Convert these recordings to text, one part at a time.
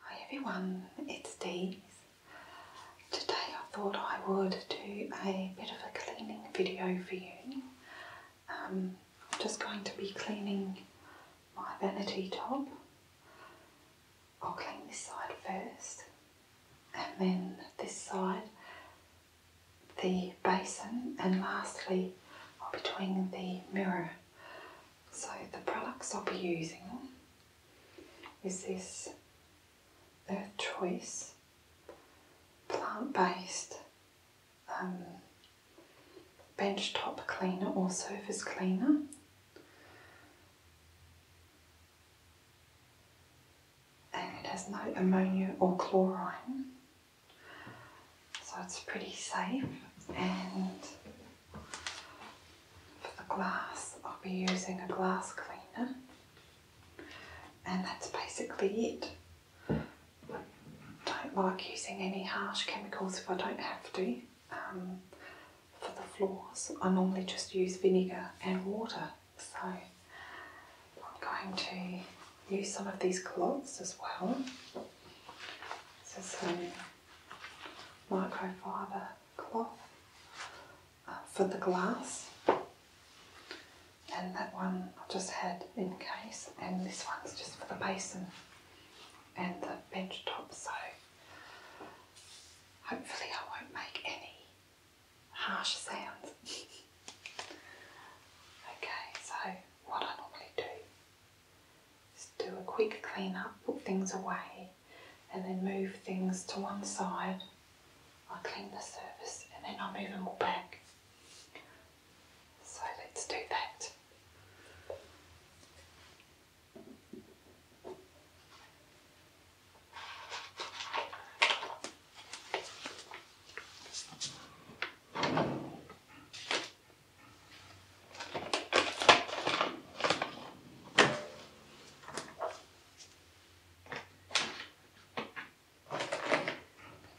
Hi everyone, it's Dee's. Today I thought I would do a bit of a cleaning video for you. Um, I'm just going to be cleaning my vanity top. I'll clean this side first and then this side, the basin and lastly I'll be doing the mirror. So the products I'll be using is this Earth Choice plant-based um, bench top cleaner or surface cleaner. And it has no ammonia or chlorine so it's pretty safe and for the glass I'll be using a glass cleaner and that's basically it. I don't like using any harsh chemicals if I don't have to um, for the floors. I normally just use vinegar and water so I'm going to use some of these cloths as well. So microfiber cloth uh, for the glass. And that one I just had in case, and this one's just for the basin and the bench top. So hopefully, I won't make any harsh sounds. okay, so what I normally do just do a quick clean up, put things away, and then move things to one side. I clean the surface and then I move them all back. So let's do that.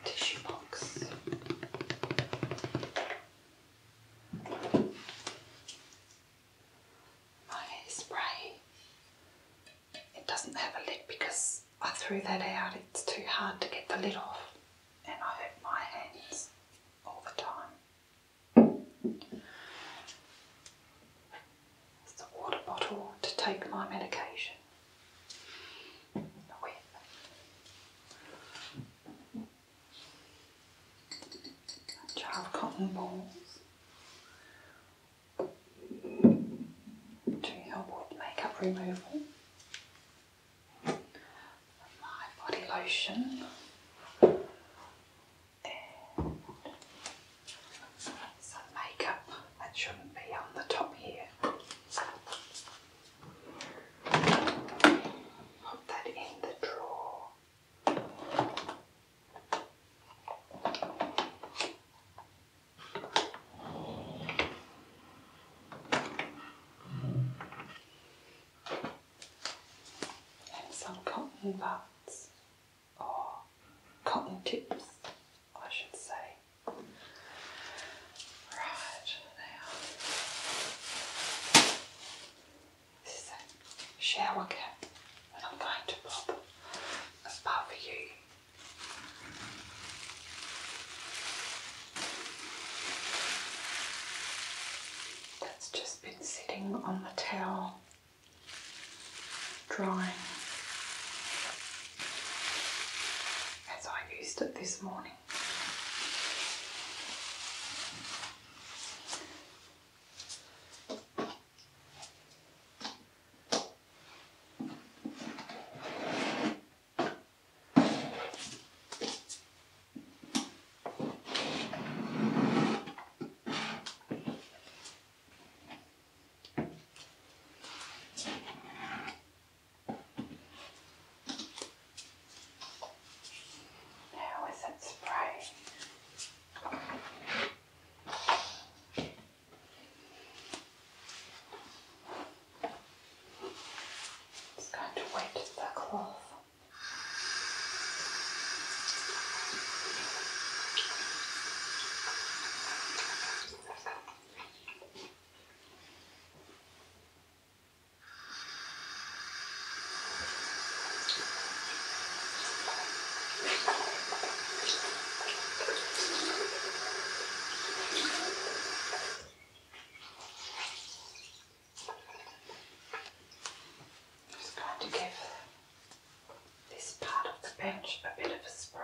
Tissue box. My spray. It doesn't have a lid because I threw that out. It's too hard to get the lid off and I hurt my hands all the time. It's the water bottle to take my medication with. A jar of cotton balls to help with makeup removal my body lotion some makeup that shouldn't be on the top here. Put that in the drawer and some cotton buds or cotton tips, I should say. Right now, this is a shower cap that I'm going to pop above you. That's just been sitting on the towel, drying, as I used it this morning. How is it spraying? Just going to wet the cloth. Just going to give this part of the bench a bit of a spray.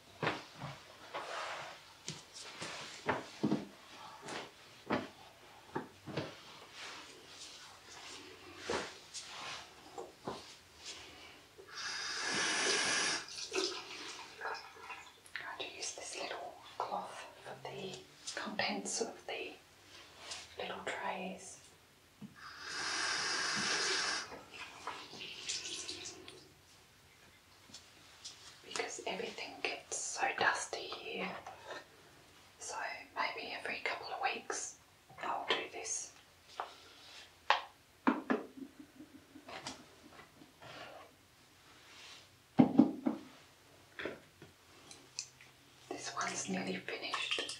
I'm going to use this little cloth for the contents of the little trays because everything gets so dusty here. So maybe every couple of weeks I'll do this. This one's nearly finished.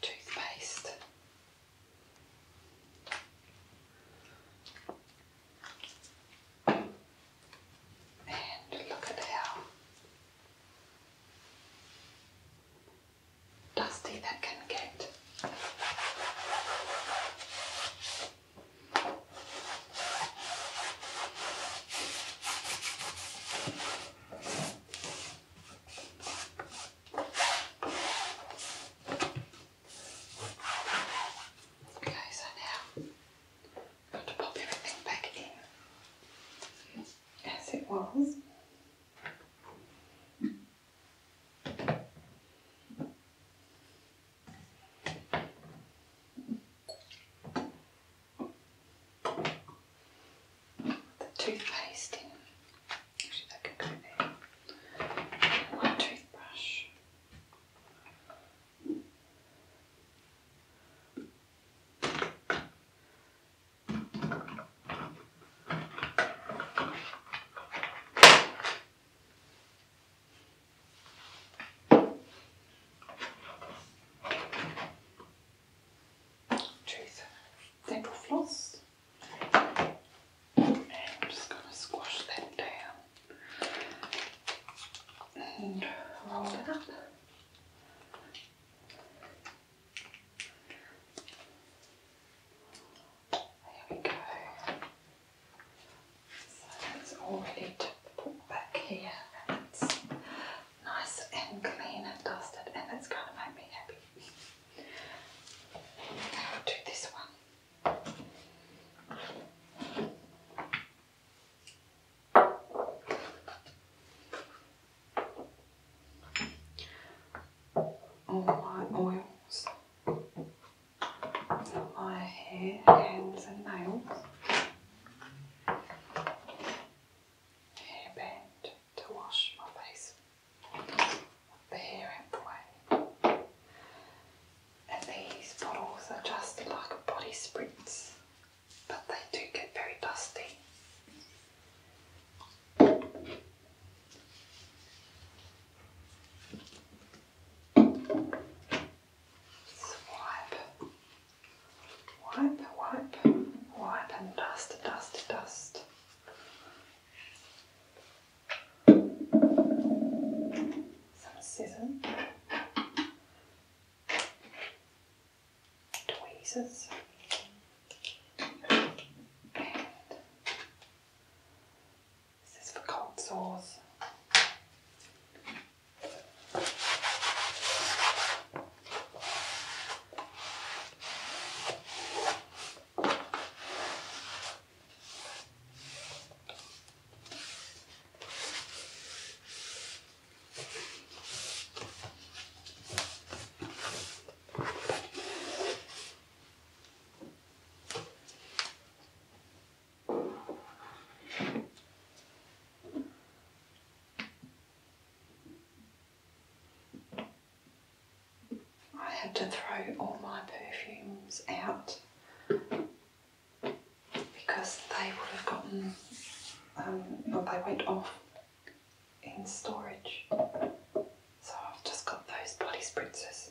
toothpaste. And look at how dusty that can get. Okay, so now got to pop everything back in as it was the toothpaste in. Actually, that can go there. my toothbrush. Truth. Dental floss. I'm just going to squash that down and roll it up. There we go. So that's all we need to put back here. And it's nice and clean and dusted, and it's going to make me happy. Okay, do this one. All my oils. My hair, hands and nails. Hairband to wash my face. the hair out the way. And these bottles are just like body spritz, but they do get very dusty wipe, wipe, wipe, wipe and dust, dust, dust. Some scissors, tweezers. This is for cold sores. I had to throw all my perfumes out because they would have gotten, um, or they went off in storage. So I've just got those body spritzers.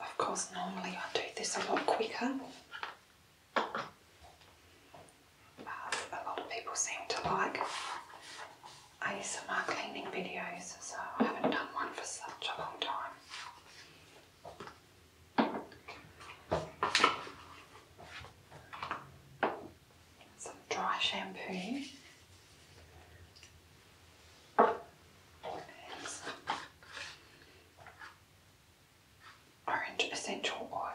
Of course, normally I do this a lot quicker. But a lot of people seem to like ASMR cleaning videos, so I haven't done one for such a long time. Some dry shampoo. orange essential oil.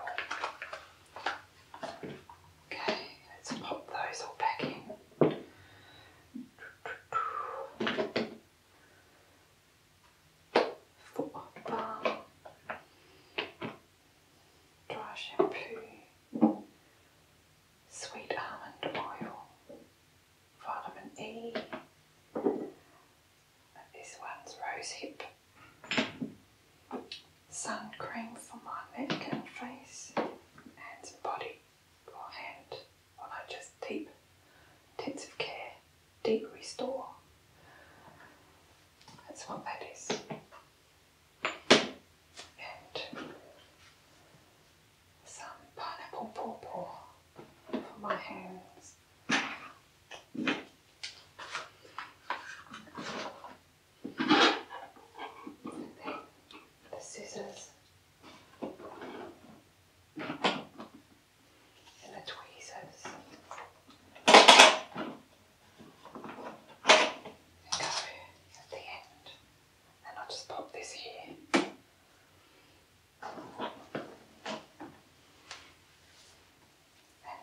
Okay, let's pop those all back in foot balm, dry shampoo, sweet almond oil, vitamin E. This one's rosehip. Sun cream for my neck and face, and body or hand on her just deep intensive care, deep restore. That's what that is. And some pineapple pawpaw for my hands. the scissors and the tweezers and go at the end and I'll just pop this here and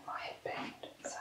my headband so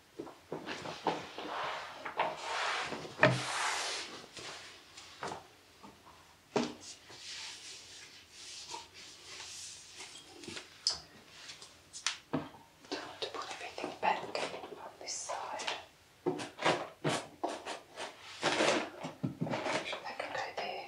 Time to put everything back on this side. Actually, that can go there.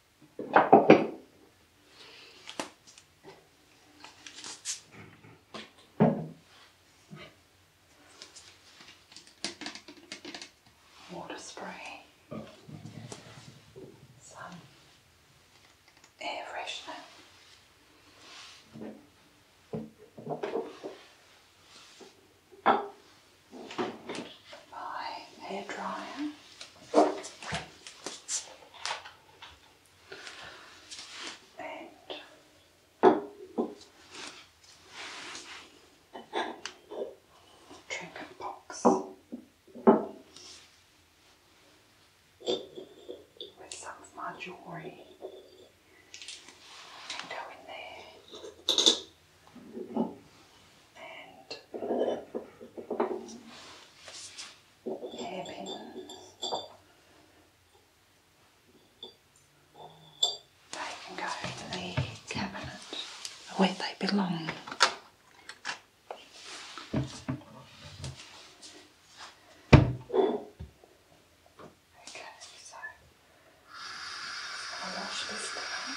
Water spray. Some air freshener. My hair dryer and trinket box with some of my jewellery go in there and hairpins they can go to the cabinet where they belong. Okay, so i wash this down.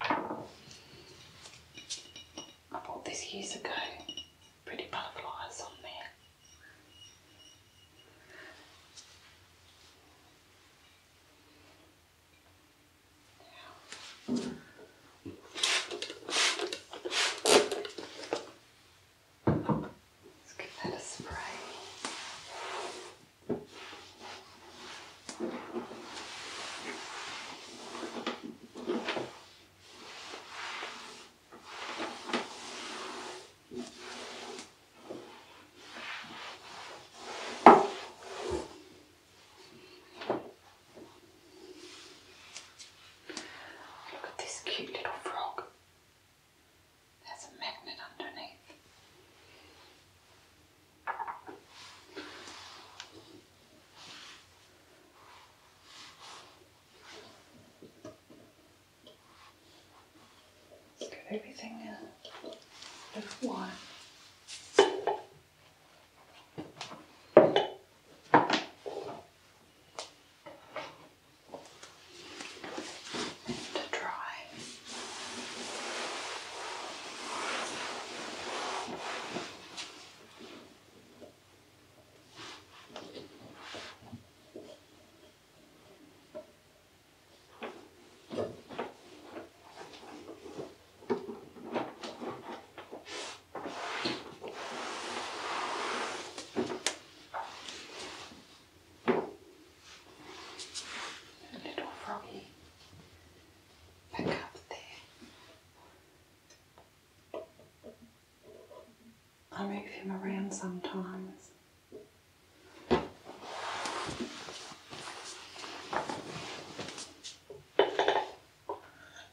I bought this years ago. Pretty butterflies on there. Let's give that a spray. Look at this cute little frog. There's a magnet underneath. Let's get everything a little white to dry little froggy back up there. I move him around sometimes.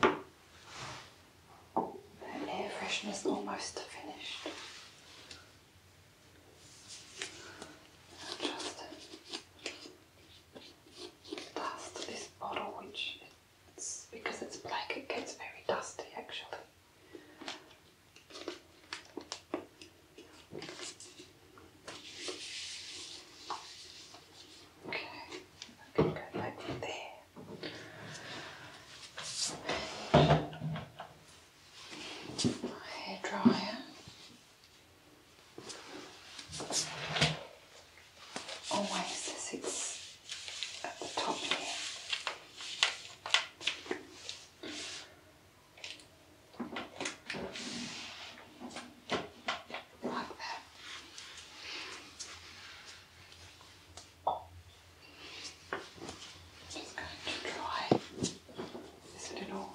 That air freshener's almost finished. Just dust this bottle, which because it's black, it gets very dusty actually. Okay, I can go back there. My hair dryer. Always it's at the top here. Like that. Just going to try this little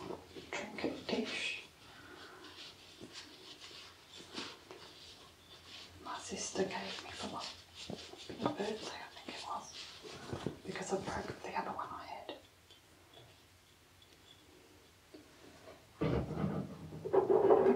trinket dish. My sister gave me for my birthday, I think it was, because I broke the other one I had.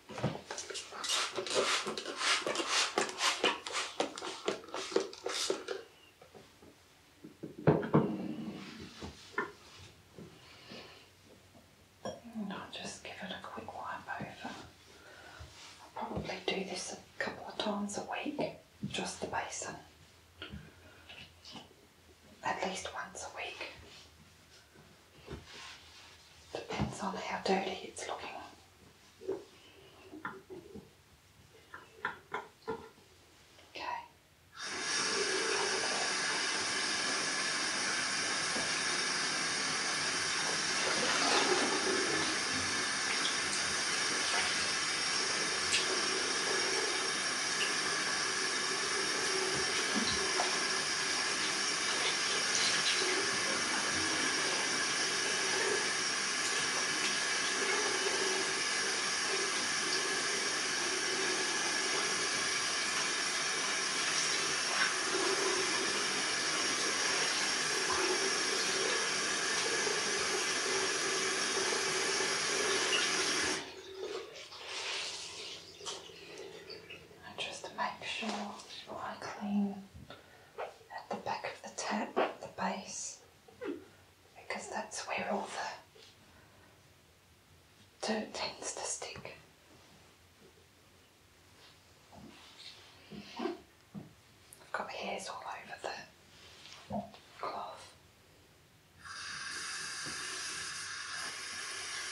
And I'll just give it a quick wipe over. I'll probably do this a couple of times a week, just the basin. At least once a week. Depends on how dirty it's looking. Okay. And just make sure I clean at the back of the tab, at the base, because that's where all the dirt tends to stick. I've got hairs all over the cloth.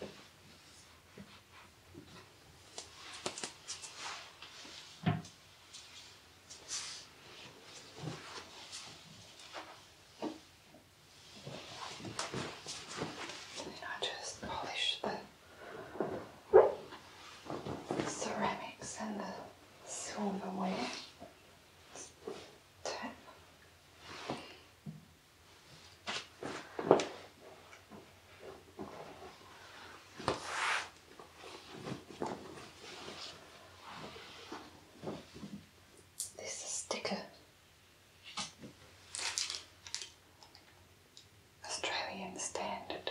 Then I just polish the ceramics and the silverware tap. This is a sticker. Australian standard.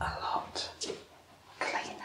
a lot cleaner.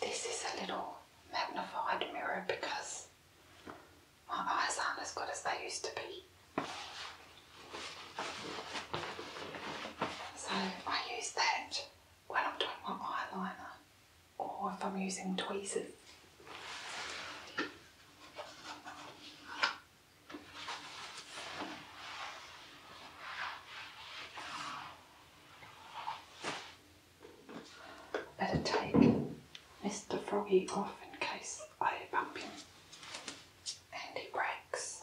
This is a little magnified mirror because my eyes aren't as good as they used to be. So I use that when I'm doing my eyeliner or if I'm using tweezers. Better take Mr. Froggy off in case I bump him and he breaks.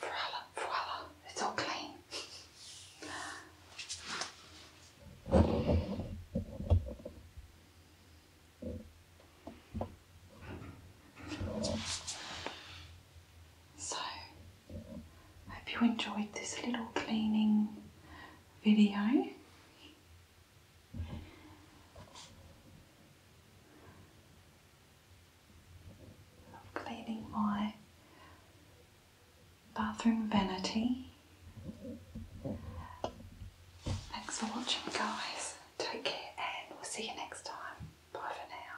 Voila, voila, it's all clean. So, hope you enjoyed this little cleaning video. Of cleaning my bathroom vanity. Thanks for watching, guys. Take care, and we'll see you next time. Bye for now.